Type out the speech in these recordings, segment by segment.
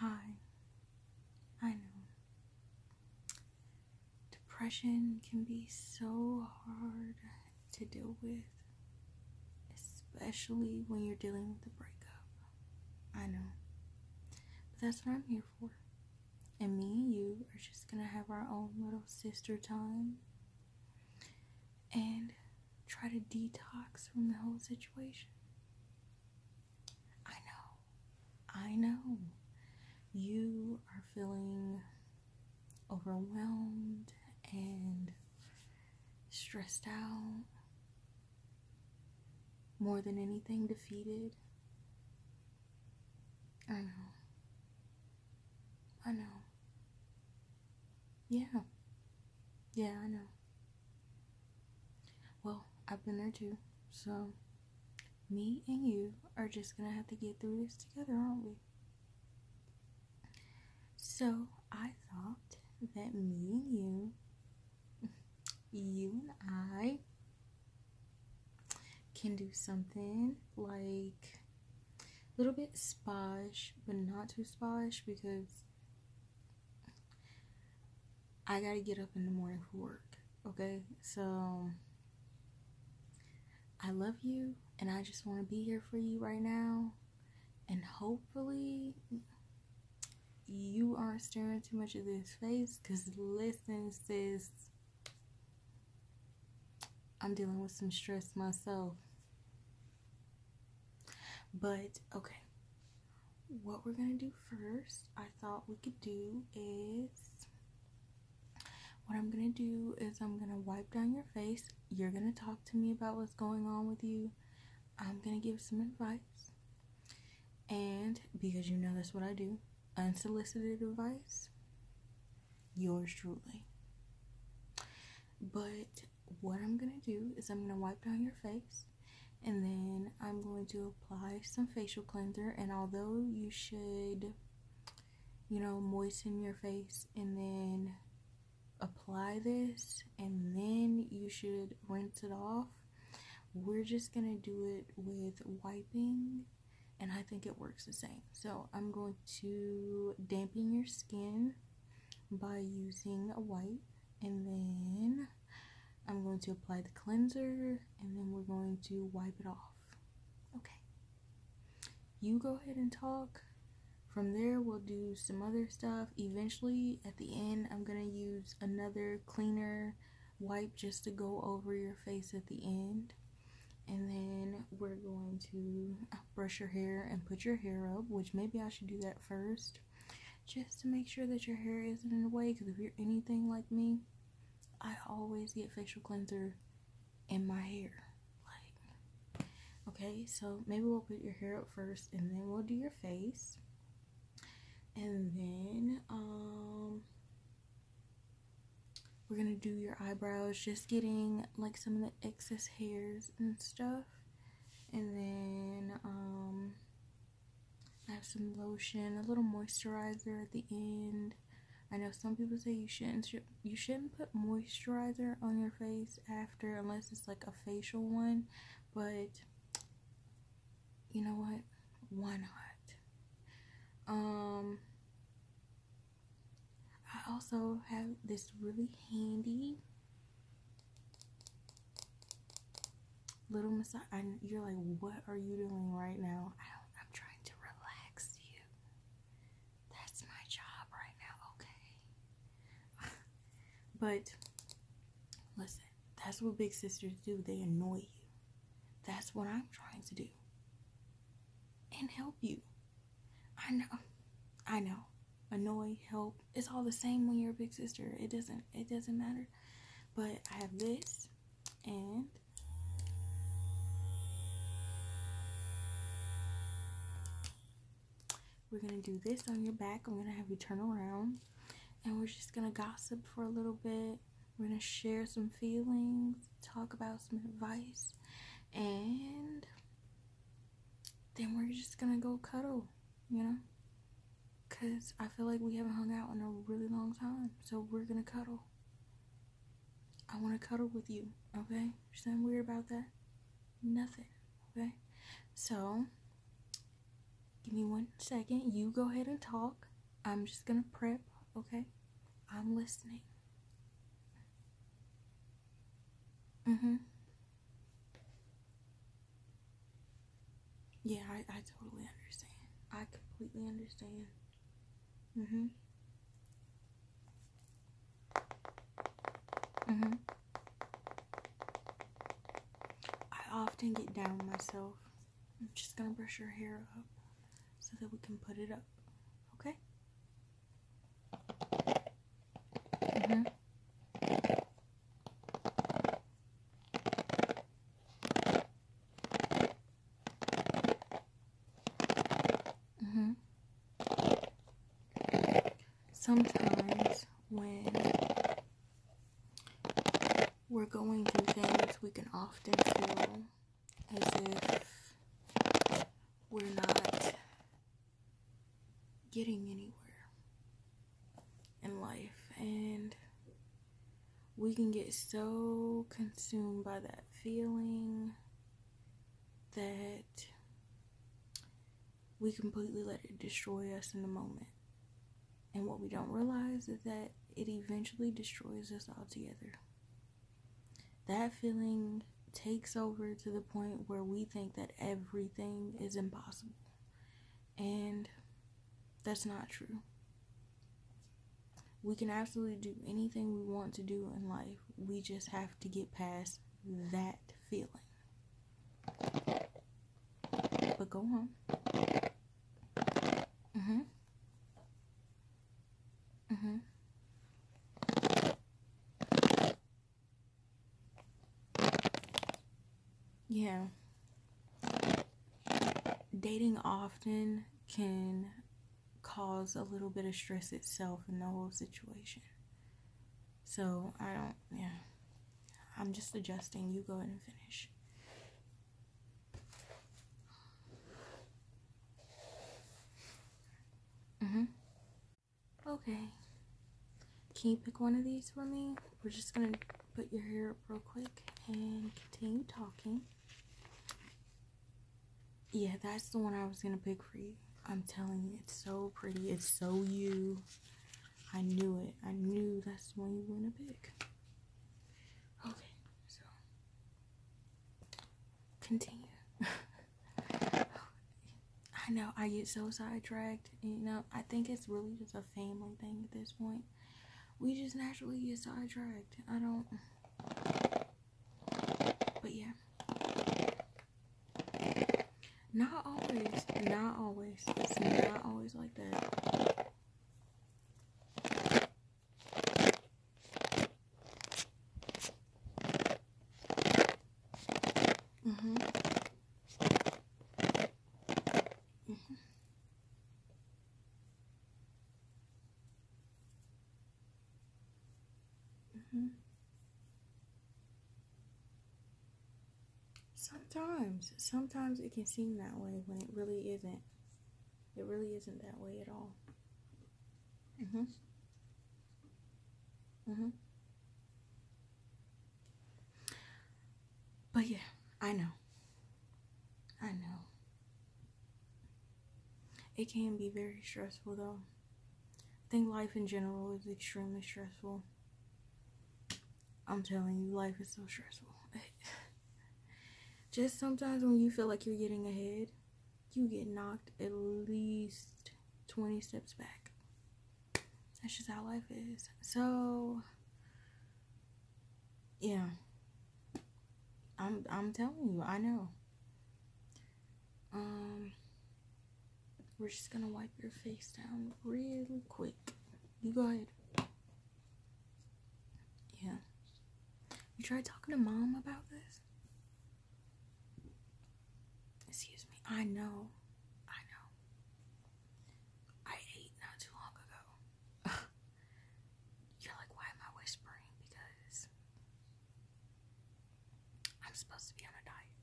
Hi, I know. Depression can be so hard to deal with, especially when you're dealing with a breakup. I know. But that's what I'm here for. And me and you are just gonna have our own little sister time and try to detox from the whole situation. I know. I know. You are feeling overwhelmed and stressed out. More than anything, defeated. I know. I know. Yeah. Yeah, I know. Well, I've been there too, so me and you are just gonna have to get through this together, aren't we? So I thought that me and you, you and I, can do something like a little bit sposh, but not too sposh because I gotta get up in the morning for work, okay? So, I love you, and I just wanna be here for you right now. And hopefully, you aren't staring too much at this face, because listen, sis, I'm dealing with some stress myself. But, okay what we're gonna do first, I thought we could do is what I'm gonna do is I'm gonna wipe down your face. You're gonna talk to me about what's going on with you. I'm gonna give some advice, and because you know that's what I do unsolicited advice, yours truly. But what I'm gonna do is I'm gonna wipe down your face and then I'm going to apply some facial cleanser and although you should you know moisten your face and then apply this and then you should rinse it off we're just gonna do it with wiping and I think it works the same so I'm going to dampen your skin by using a wipe and then I'm going to apply the cleanser and then we're going to wipe it off. Okay. You go ahead and talk. From there, we'll do some other stuff. Eventually, at the end, I'm going to use another cleaner wipe just to go over your face at the end. And then we're going to brush your hair and put your hair up, which maybe I should do that first just to make sure that your hair isn't in the way. Because if you're anything like me, I always get facial cleanser in my hair. Like, okay, so maybe we'll put your hair up first and then we'll do your face. And then, um, we're gonna do your eyebrows, just getting like some of the excess hairs and stuff. And then, um, I have some lotion, a little moisturizer at the end. I know some people say you shouldn't you shouldn't put moisturizer on your face after unless it's like a facial one, but you know what? Why not? Um I also have this really handy Little Miss, I, you're like, what are you doing right now? I'm trying to relax you. That's my job right now, okay? but listen, that's what big sisters do. They annoy you. That's what I'm trying to do. And help you. I know. I know. Annoy, help. It's all the same when you're a big sister. It doesn't it doesn't matter. But I have this and we're gonna do this on your back. I'm gonna have you turn around and we're just gonna gossip for a little bit. We're gonna share some feelings, talk about some advice, and then we're just gonna go cuddle you know? Because I feel like we haven't hung out in a really long time, so we're gonna cuddle. I wanna cuddle with you, okay? There's nothing weird about that. Nothing, okay? So, give me one second. You go ahead and talk. I'm just gonna prep, okay? I'm listening. Mm hmm. Yeah, I, I totally understand. I completely understand. Mm-hmm. Mm-hmm. I often get down myself. I'm just gonna brush your hair up so that we can put it up. Okay? Mm-hmm. Mm hmm Sometimes when we're going through things, we can often feel as if we're not getting anywhere in life and we can get so consumed by that feeling that we completely let it destroy us in the moment. And what we don't realize is that it eventually destroys us altogether. That feeling takes over to the point where we think that everything is impossible and that's not true. We can absolutely do anything we want to do in life. We just have to get past that feeling. But go on. Mhm. Mhm yeah dating often can cause a little bit of stress itself in the whole situation so i don't yeah i'm just adjusting you go ahead and finish mm-hmm okay can you pick one of these for me we're just gonna put your hair up real quick and continue talking. Yeah, that's the one I was gonna pick for you. I'm telling you, it's so pretty. It's so you. I knew it. I knew that's the one you wanna pick. Okay, so continue. I know I get so sidetracked. You know, I think it's really just a family thing at this point we just naturally get sidetracked. I don't. But yeah. Not always. Not always. It's not always like that. Mm-hmm. Mm -hmm. Mm -hmm. Sometimes, sometimes it can seem that way when it really isn't. It really isn't that way at all. Mm-hmm. Mm-hmm. But yeah, I know. I know. It can be very stressful though. I think life in general is extremely stressful. I'm telling you, life is so stressful. Just sometimes when you feel like you're getting ahead, you get knocked at least 20 steps back. That's just how life is. So, yeah. I'm I'm telling you, I know. Um we're just gonna wipe your face down really quick. You go ahead. Yeah. You tried talking to mom about this? Excuse me. I know. I know. I ate not too long ago. You're like, why am I whispering? Because I'm supposed to be on a diet,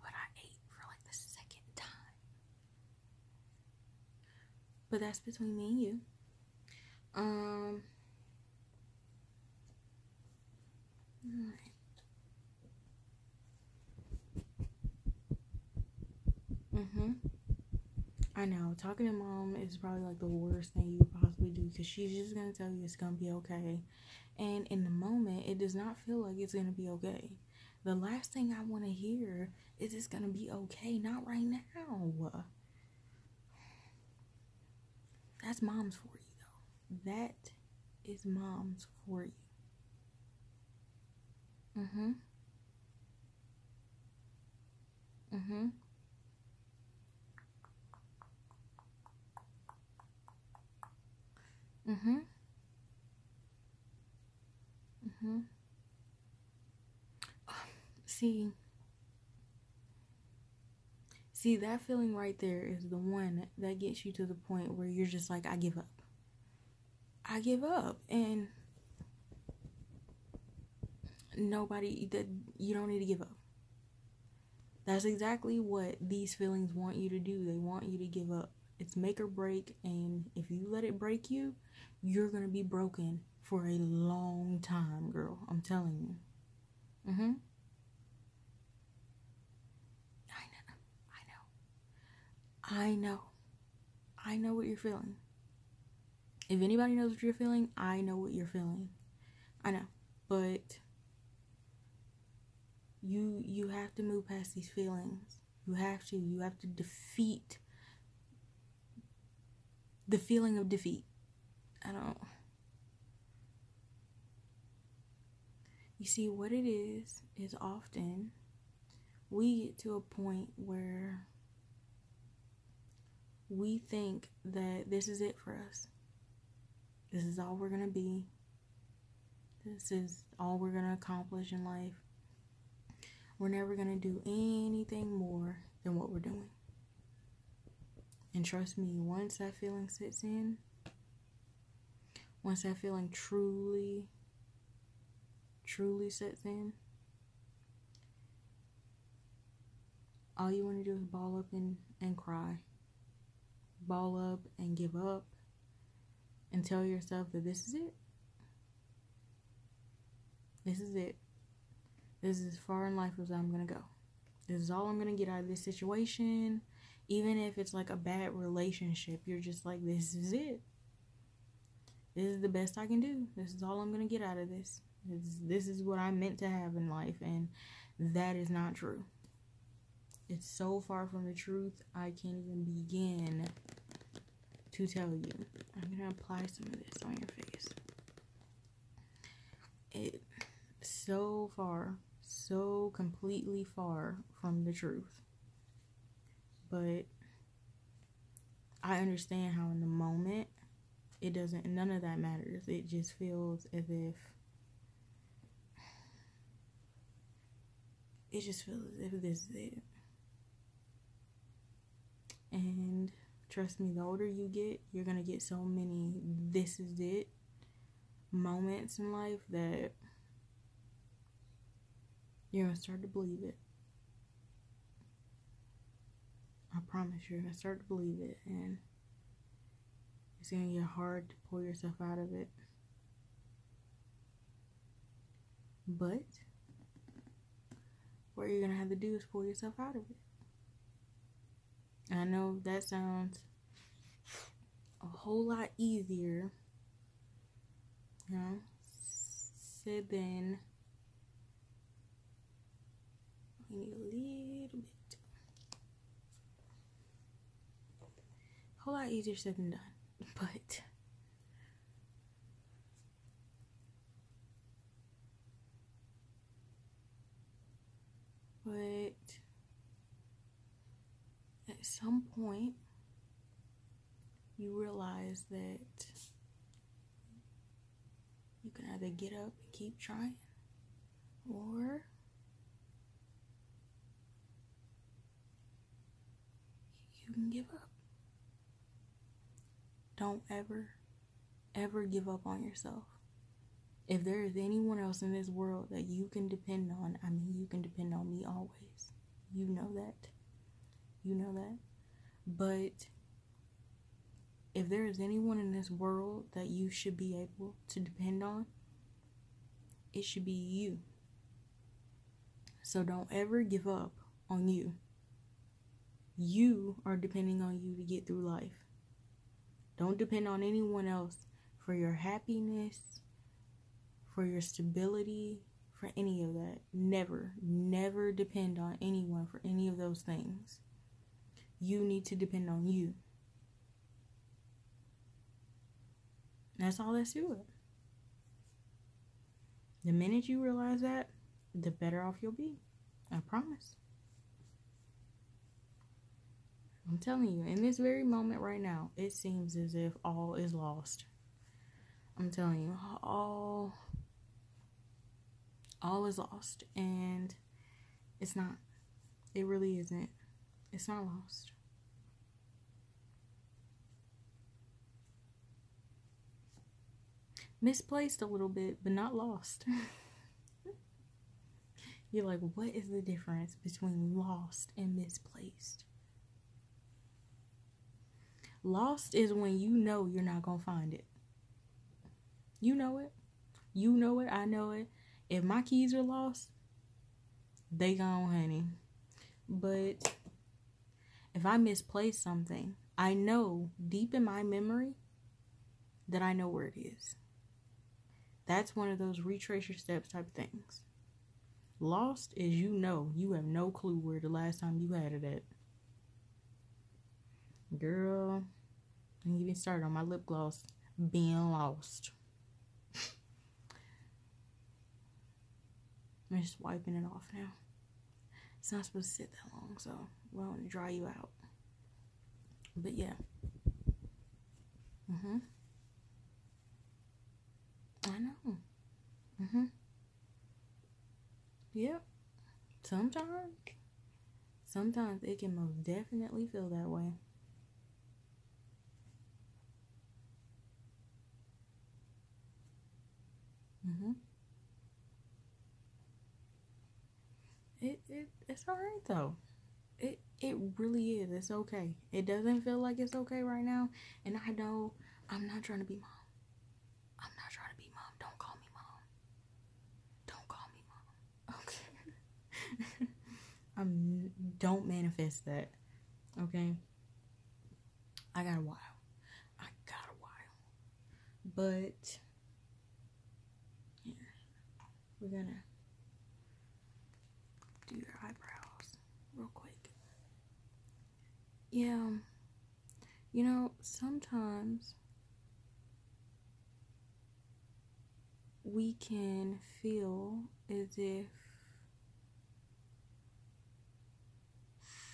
but I ate for like the second time. But that's between me and you. Um. All right. Mm-hmm. I know talking to mom is probably like the worst thing you could possibly do because she's just gonna tell you it's gonna be okay, and in the moment it does not feel like it's gonna be okay. The last thing I want to hear is it's gonna be okay, not right now. That's mom's for you though. That is mom's for you. Mm-hmm. Mm-hmm. Mm-hmm. Mm-hmm. See, see, that feeling right there is the one that gets you to the point where you're just like, I give up. I give up and nobody that you don't need to give up. That's exactly what these feelings want you to do. They want you to give up. It's make or break and if you let it break you, you're going to be broken for a long time, girl. I'm telling you. Mhm. I know. I know. I know. I know what you're feeling. If anybody knows what you're feeling, I know what you're feeling. I know, but you you have to move past these feelings. You have to. You have to defeat the feeling of defeat. I don't. You see, what it is is often we get to a point where we think that this is it for us. This is all we're going to be. This is all we're going to accomplish in life. We're never going to do anything more than what we're doing. And trust me, once that feeling sits in, once that feeling truly, truly sets in, all you want to do is ball up and, and cry. Ball up and give up and tell yourself that this is it. This is it. This is as far in life as I'm going to go. This is all I'm going to get out of this situation. Even if it's like a bad relationship, you're just like, this is it this is the best I can do. This is all I'm going to get out of this. this is what I meant to have in life, and that is not true. It's so far from the truth, I can't even begin to tell you. I'm going to apply some of this on your face. It's so far, so completely far from the truth. But I understand how in the moment it doesn't none of that matters. It just feels as if it just feels as if this is it. And trust me, the older you get, you're gonna get so many this is it moments in life that you're gonna start to believe it. I promise you, you're gonna start to believe it, and it's gonna get hard to pull yourself out of it. But what you're gonna have to do is pull yourself out of it. I know that sounds a whole lot easier, you know, said than we need a little bit. A whole lot easier said than done, but but at some point you realize that you can either get up and keep trying or you can give up. Don't ever, ever give up on yourself. If there is anyone else in this world that you can depend on, I mean, you can depend on me always. You know that. You know that. But if there is anyone in this world that you should be able to depend on, it should be you. So don't ever give up on you. You are depending on you to get through life. Don't depend on anyone else for your happiness, for your stability, for any of that. Never, never depend on anyone for any of those things. You need to depend on you. That's all that's to it. The minute you realize that, the better off you'll be. I promise. I'm telling you, in this very moment right now, it seems as if all is lost. I'm telling you, all all is lost and it's not. It really isn't. It's not lost. Misplaced a little bit, but not lost. You're like, what is the difference between lost and misplaced? Lost is when you know you're not going to find it. You know it. You know it. I know it. If my keys are lost, they gone, honey. But if I misplace something, I know deep in my memory that I know where it is. That's one of those retrace your steps type things. Lost is you know you have no clue where the last time you had it at. Girl, I even started on my lip gloss being lost. I'm just wiping it off now. It's not supposed to sit that long, so I want to dry you out. But yeah. Mm-hmm. I know. Mm-hmm. Yep. Sometimes. Sometimes it can most definitely feel that way. Mm-hmm. It, it it's alright though. It it really is. It's okay. It doesn't feel like it's okay right now. And I know I'm not trying to be mom. I'm not trying to be mom. Don't call me mom. Don't call me mom. Okay. i um, don't manifest that. Okay. I got a while. I got a while. But yeah. We're gonna do your eyebrows real quick. Yeah. You know, sometimes we can feel as if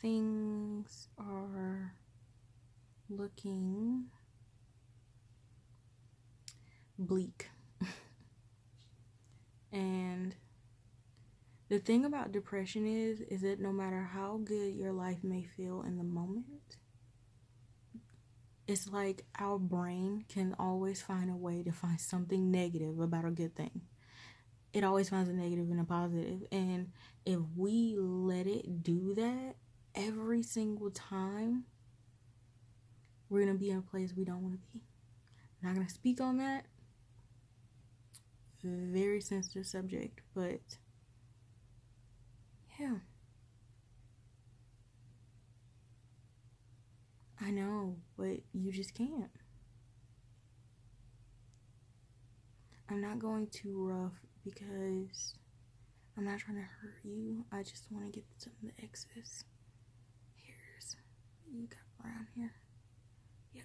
things are looking bleak. and the thing about depression is is that no matter how good your life may feel in the moment. It's like our brain can always find a way to find something negative about a good thing. It always finds a negative and a And if we let it do that every single time, we're going to be in a place we don't want to be. I'm not going to speak on that. Very sensitive subject, but yeah. I know, but you just can't. I'm not going too rough because I'm not trying to hurt you. I just want to get some of the excess hairs you got around here. Yep.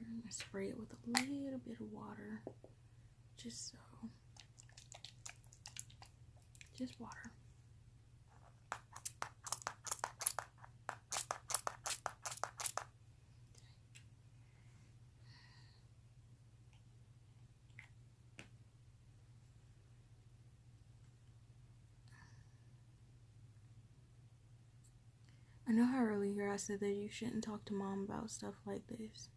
I'm gonna spray it with a little bit of water, just so, just water. I know how earlier I said that you shouldn't talk to mom about stuff like this,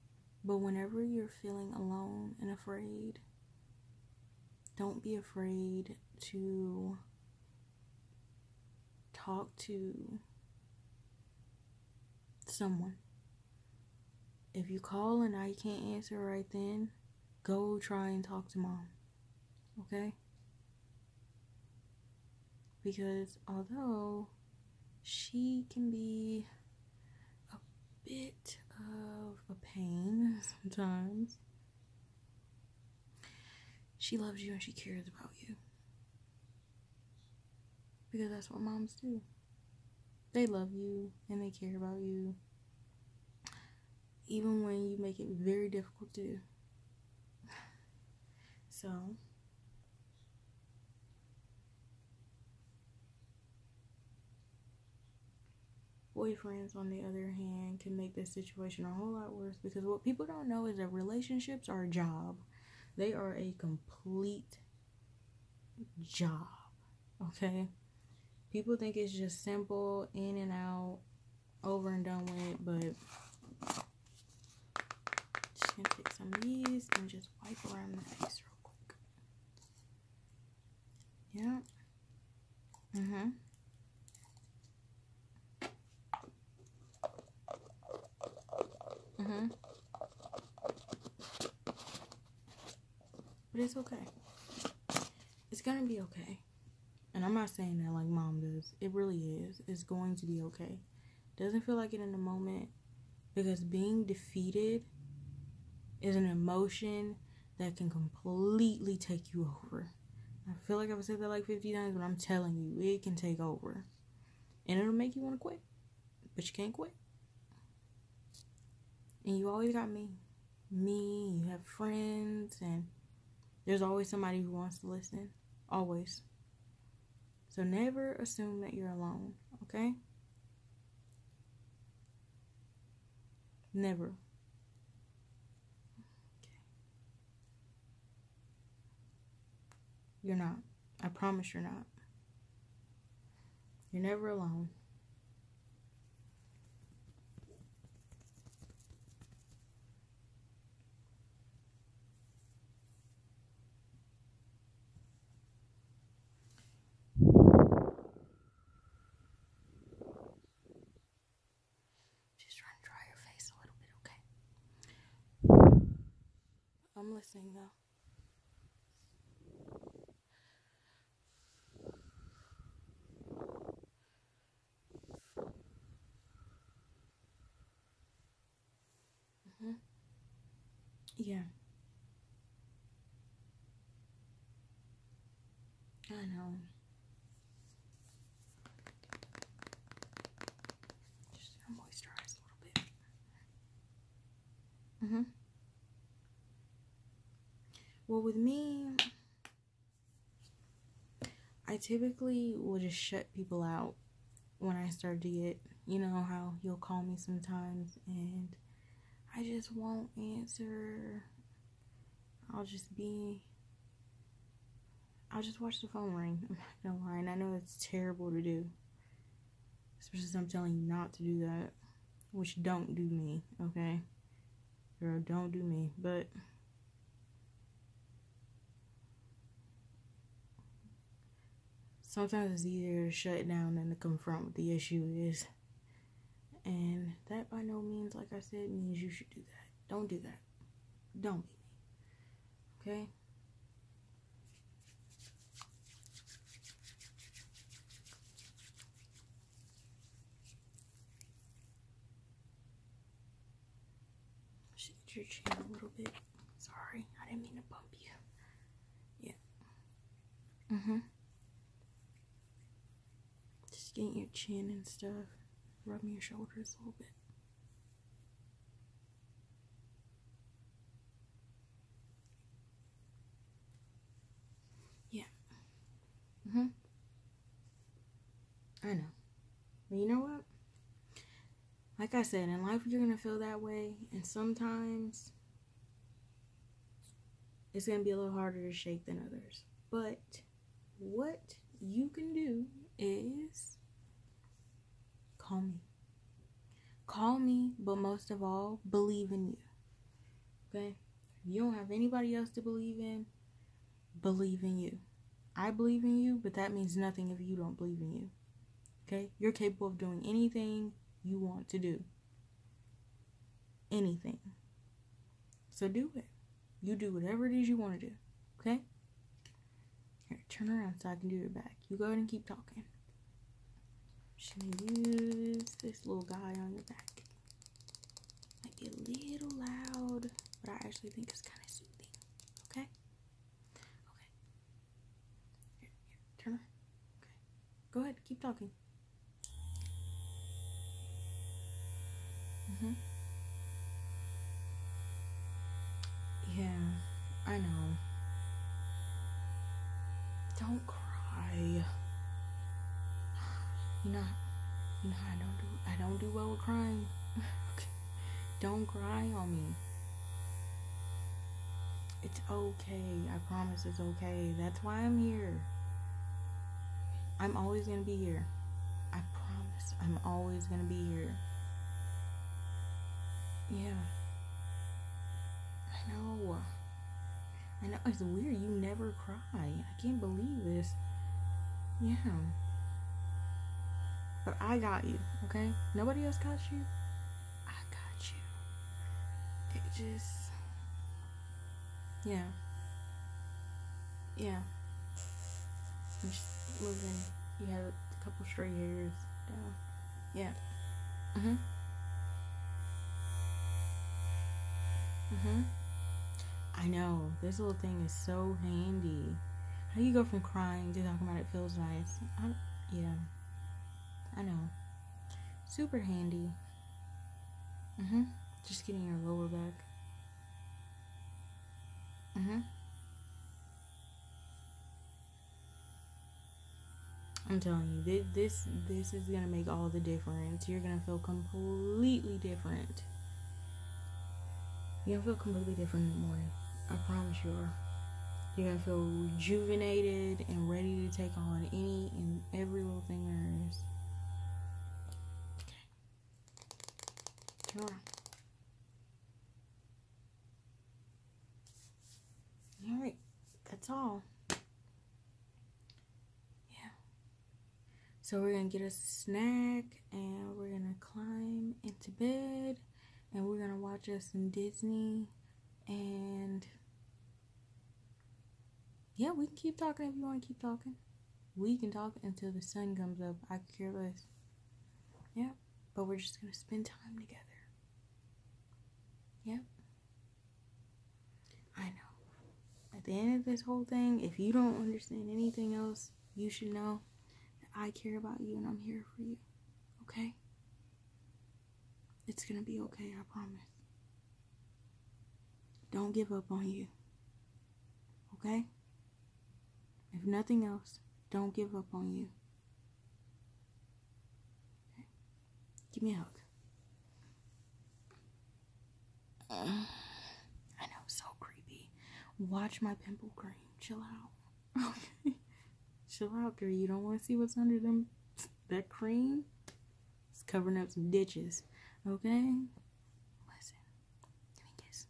but whenever you're feeling alone and afraid, don't be afraid to talk to someone. If you call and I can't answer right then, go try and talk to mom. Okay? Because although she can be a bit of a pain sometimes, she loves you and she cares about you. Because that's what moms do. They love you and they care about you. Even when you make it very difficult to do. So, Boyfriends, on the other hand, can make this situation a whole lot worse because what people don't know is that relationships are a job. They are a complete job. Okay? People think it's just simple, in and out, over and done with, but just gonna take some of these and just wipe around the face real quick. Yeah. Mm-hmm. Mm-hmm. But it's okay. It's gonna be okay. And I'm not saying that like mom does. It really is. It's going to be okay. Doesn't feel like it in the moment because being defeated is an emotion that can completely take you over. I feel like I've said that like 50 times, but I'm telling you, it can take over. And it'll make you want to quit. But you can't quit. And you always got me. Me, you have friends, and there's always somebody who wants to listen. Always. So never assume that you're alone, okay? Never. You're not. I promise you're not. You're never alone. Just trying to dry your face a little bit, okay? I'm listening though. Mm-hmm. Yeah. I know. Just moisturize a little bit. Mm-hmm. Well, with me, I typically will just shut people out when I start to get, you know, how you'll call me sometimes and I just won't answer. I'll just be, I'll just watch the phone ring. I'm not gonna lie, and I know it's terrible to do, especially I'm telling you not to do that, which don't do me, okay? Girl, don't do me, but sometimes it's easier to shut down than to confront what the issue is. And that by no means, like I said, means you should do that. Don't do that. Don't be Okay? Just hit your chin a little bit. Sorry, I didn't mean to bump you. Yeah. Mm hmm. Just getting your chin and stuff, rubbing your shoulders a little bit. Yeah. Mm hmm. I know. you know what? like I said, in life you're going to feel that way. And sometimes it's going to be a little harder to shake than others. But what you can do is call me. Call me, but most of all, believe in you. Okay? you don't have anybody else to believe in, believe in you. I believe in you, but that means nothing if you don't believe in you. Okay? You're capable of doing anything you want to do. Anything. So do it. You do whatever it is you want to do. Okay? Here, turn around so I can do your back. You go ahead and keep talking. i use this little guy on your back. Might be a little loud, but I actually think it's kind of soothing. Okay? Okay turn around. Okay. Go ahead, keep talking. Mm-hmm. Yeah, I know. Don't cry. You know, I don't do I don't do well with crying. okay. Don't cry on me. It's okay. I promise it's okay. That's why I'm here. I'm always going to be here. I promise I'm always going to be here. Yeah. I know. I know it's weird. You never cry. I can't believe this. Yeah. But I got you, okay? Nobody else got you. I got you. It just, yeah, yeah. I'm just moving. You have a couple straight hairs down. Yeah. Mhm. Mhm. I know this little thing is so handy. How you go from crying to talking about it feels nice? yeah, I know. Super handy. Mm-hmm. Just getting your lower back. Mm-hmm. I'm telling you, this this is gonna make all the difference. You're gonna feel completely different. You're gonna feel completely different in the morning. I promise you are. You're gonna feel rejuvenated and ready to take on any and every little thing there is. Turn around. All right, that's all. So we're gonna get a snack and we're gonna climb into bed and we're gonna watch us some Disney and yeah, we can keep talking if you want to keep talking. We can talk until the sun comes up. I care less. Yeah, but we're just gonna spend time together. Yep. Yeah. I know. At the end of this whole thing, if you don't understand anything else, you should know that I care about you and I'm here for you. Okay? It's going to be okay, I promise. Don't give up on you. Okay? If nothing else, don't give up on you. Give me a hug. I know, so creepy. Watch my pimple cream. Chill out. Okay. Chill out, girl. You don't want to see what's under them that cream? It's covering up some ditches. Okay? Listen. Give me a kiss.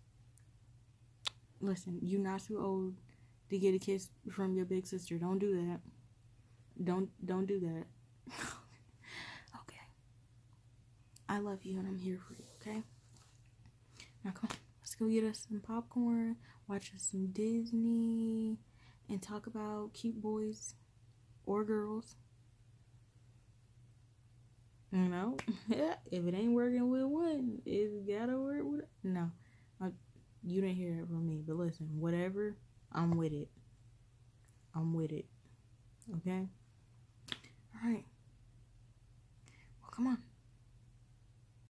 Listen, you're not too old to get a kiss from your big sister. Don't do that. Don't don't do that. okay. I love you and I'm here for you, okay? Now come Let's go get us some popcorn, watch us some Disney, and talk about cute boys or girls. You know, if it ain't working with one, it's gotta work with. No, you didn't hear it from me, but listen, whatever, I'm with it. I'm with it. Okay? All right. Well, come on.